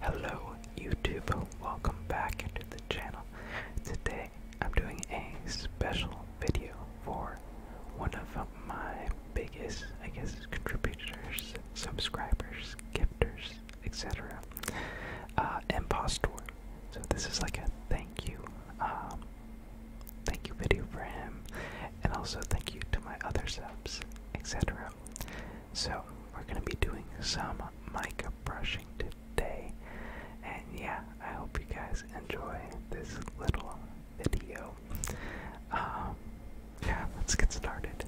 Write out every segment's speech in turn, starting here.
Hello YouTube, welcome back to the channel. Today I'm doing a special video for one of my biggest, I guess, contributors, subscribers, gifters, etc. Uh, Impostor. So this is like a thank you, um, thank you video for him, and also thank you to my other subs, etc. So we're gonna be doing some mic brushing today, and yeah, I hope you guys enjoy this little video. Um, yeah, let's get started.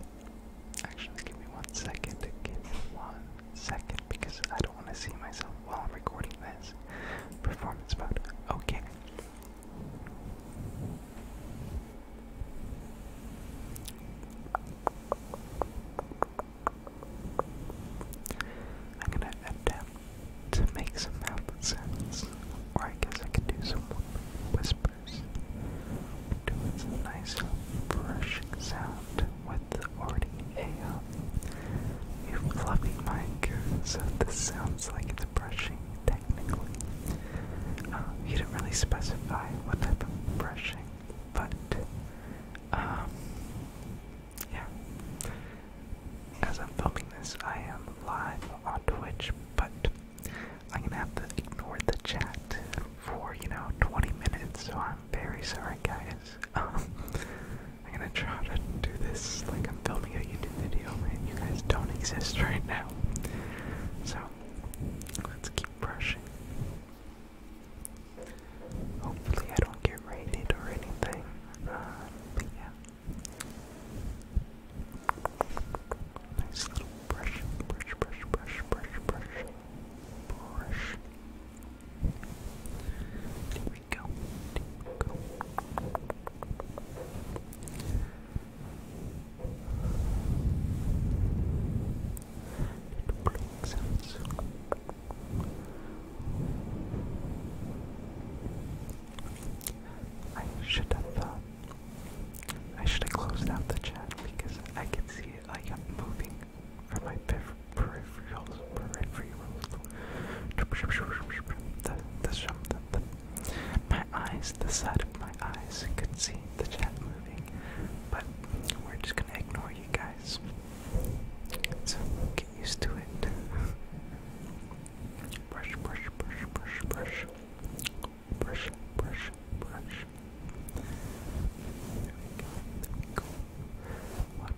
Actually, give me one second. Give me one second because I don't want to see myself while I'm recording this. Performance mode. Okay. I'm gonna attempt to make some sounds, or I guess I could do some whispers. Do some nice brushing sound with already a, um, a fluffy mic, so this sounds like it's brushing technically. Uh, didn't really specify what type of brushing, but um, yeah. As I'm filming this, I am live on Twitch, but I'm gonna have to ignore the chat for you know 20 minutes, so I'm very sorry, guys. I'm gonna try to do this like I'm filming a YouTube video, and you guys don't exist right now. So let's keep brushing. Hopefully, I don't get rated or anything. Uh, yeah. Nice little brush, brush, brush, brush, brush, brush, brush go. go. Sounds. I should have. Uh, I should have closed out the chat because I can see it like I'm moving or my peripherals, peripherals. The, the, the, my eyes, the side of my eyes could see the chat moving, but we're just gonna ignore you guys. So get used to it. Brush, brush, brush, brush, brush. Brush, brush, brush. There we go. There we go. One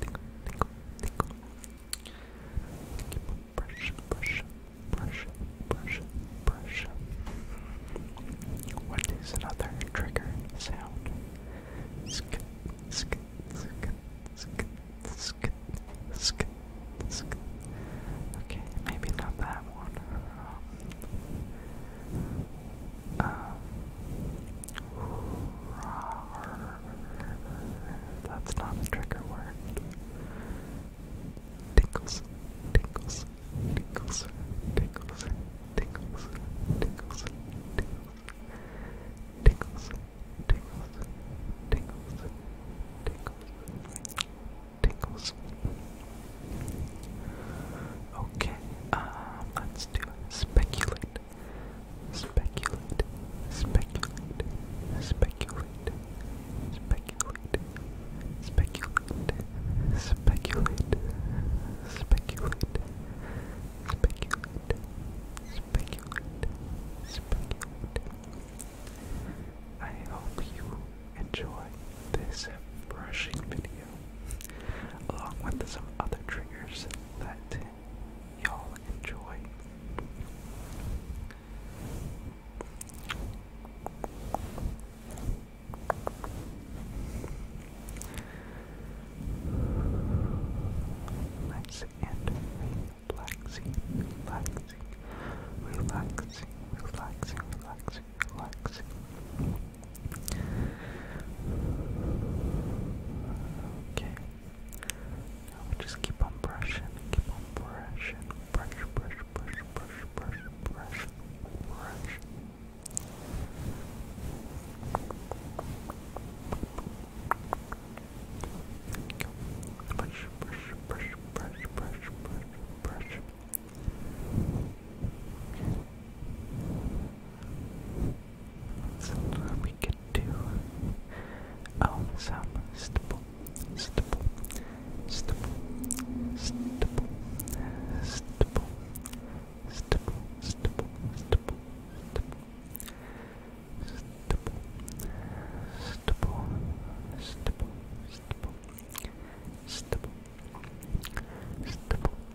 tickle, tickle, tickle, What is another trigger sound? Okay, maybe not that one. Um, um, that's not a trigger word. Tinkles, tinkles, tinkles, tinkles, tinkles, tinkles, tinkles, tinkles, tinkles, tinkles, tinkles. Okay, uh, let's do Speculate, Speculate, speculate, speculate, speculate, speculate, speculate, speculate, speculate, speculate, I hope you enjoy this brushing video along with some other triggers that y'all enjoy. relaxing, relaxing, relaxing, relaxing, relaxing, relaxing. Okay. Now we just keep on brushing, keep on brushing, brush, brush, brush, brush, brush, brush, brush. Brush, brush, brush, brush, brush, brush, brush. Okay. So we could do oh some stipple, stipple, stipple, stipple, stipple, stipple, stipple, stipple, stipple, stipple, stipple, stipple, stipple, stipple,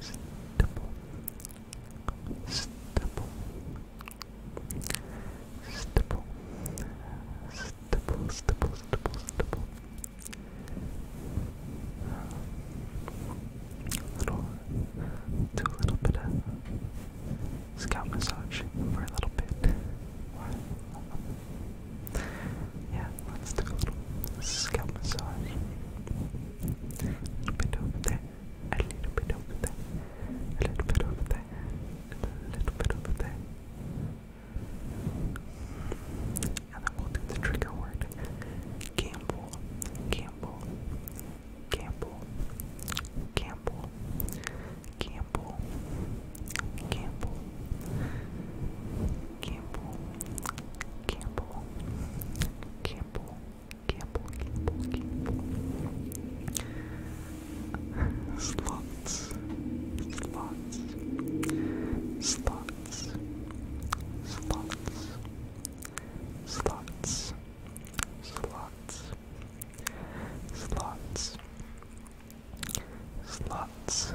stipple, stipple, stipple, stipple, stipple, stipple, stipple. Little, do a little bit of scalp massage for a little bit yeah, let's do a little scalp massage. A little bit over there, a little bit over there, a little bit over there, a little bit over there. And then we'll do the trigger word. Gamble, gamble, gamble, gamble, gamble, gamble, Campbell, Campbell, Campbell, Campbell, Campbell, Campbell. Slots, slots, slots, slots, slots, slots, slots. Slots,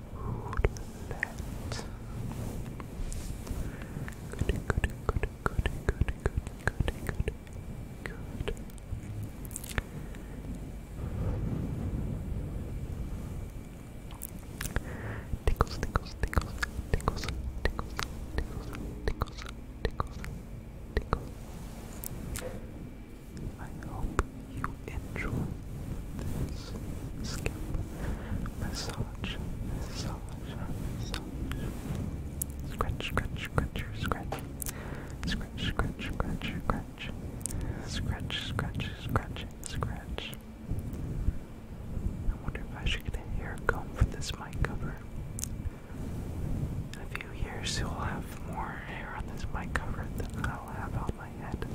roulette. Goody, goody, goody, goody, goody, goody, goody, goody, good. Tickles, tickles, tickles, tickles, tickles, tickles, tickles, tickles, tickles. I hope you enjoy this skip, massage, massage, massage, scratch, scratch, scratch, scratch, scratch, scratch, scratch, scratch, scratch, scratch, scratch, scratch. I wonder if I should get a hair comb for this mic cover. In a few years, you'll have more hair on this mic cover than I'll have on my head.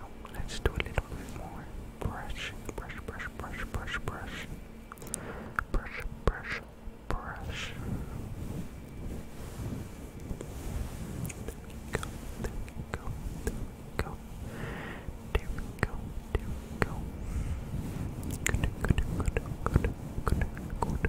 Oh, let's do a little bit more brush, brush, brush, brush, brush, brush, brush, brush, brush. There we go, there we go, there we go, there we go, there we go. Good, good, good, good, good, good, good.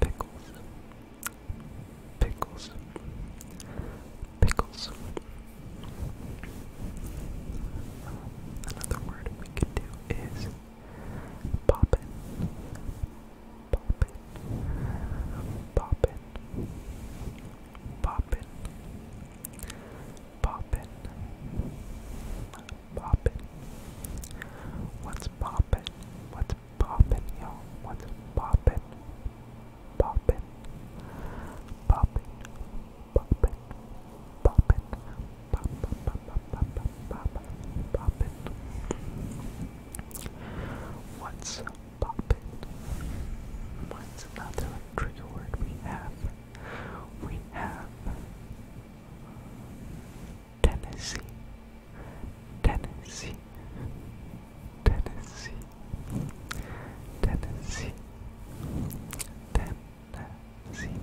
Pickles. Pickles. Pickles. Another word we could do is poppin'. Poppin'. Poppin'. Poppin'. Poppin' poppin'? What's poppin'? What's poppin', yo? What's poppin'? Poppin', poppin', poppin', poppin', poppin', poppin', poppin', poppin'. What's poppin'? What's another trigger word we have? We have Tennessee, Tennessee, Tennessee, Tennessee, Tennessee,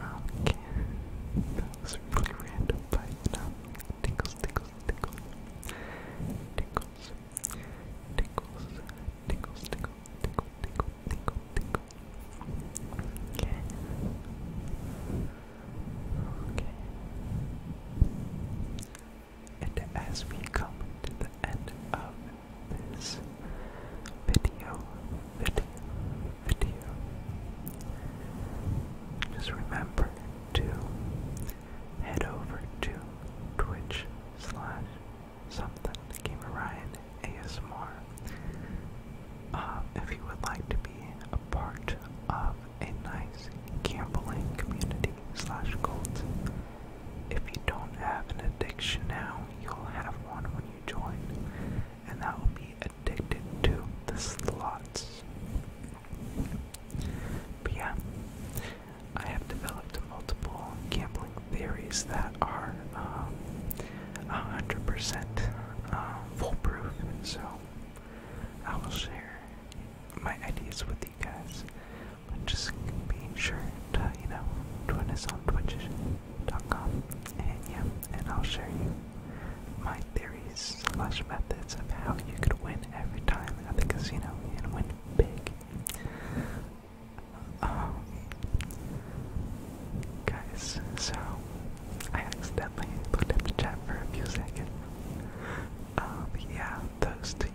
Okay, that was really random, but you know, tickles, tickles, tickles, tickles, tickles, tickles, tickle, tickle, Okay. Okay. And as we come to the end of this video, video, video, just remember to head over to Twitch slash something Gamer Ryan ASMR. if you would like to be a part of a nice gambling community slash cult, if you don't have an addiction now, you'll have one when you join, and that will be addicted to the slots. But yeah, I have developed multiple gambling theories that are um, 100% um, foolproof, so I will share my ideas with you guys. But just be sure to, you know, join us on twitch.com and yeah, and I'll share you my theories slash methods of how you could win every time at the casino and win big. Um, guys, so I accidentally looked at the chat for a few seconds. Um, yeah, those two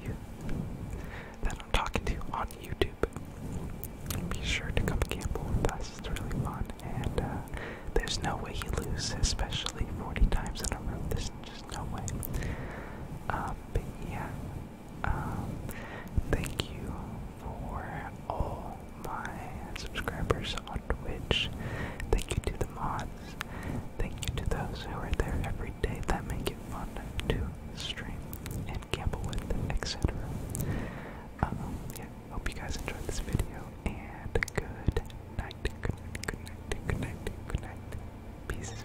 that I'm talking to on YouTube. Be sure to come gamble with us, it's really fun, and uh, there's no way you lose, especially 40 times in a row. There's just no way. Um, but yeah, um, thank you for all my subscribers on Twitch. Thank you to the mods. Thank you to those who are there every day that make it fun to stream and gamble with, etc. Um, yeah, hope you guys enjoyed this video and good night. Good night, good night, good night, good night. Peace.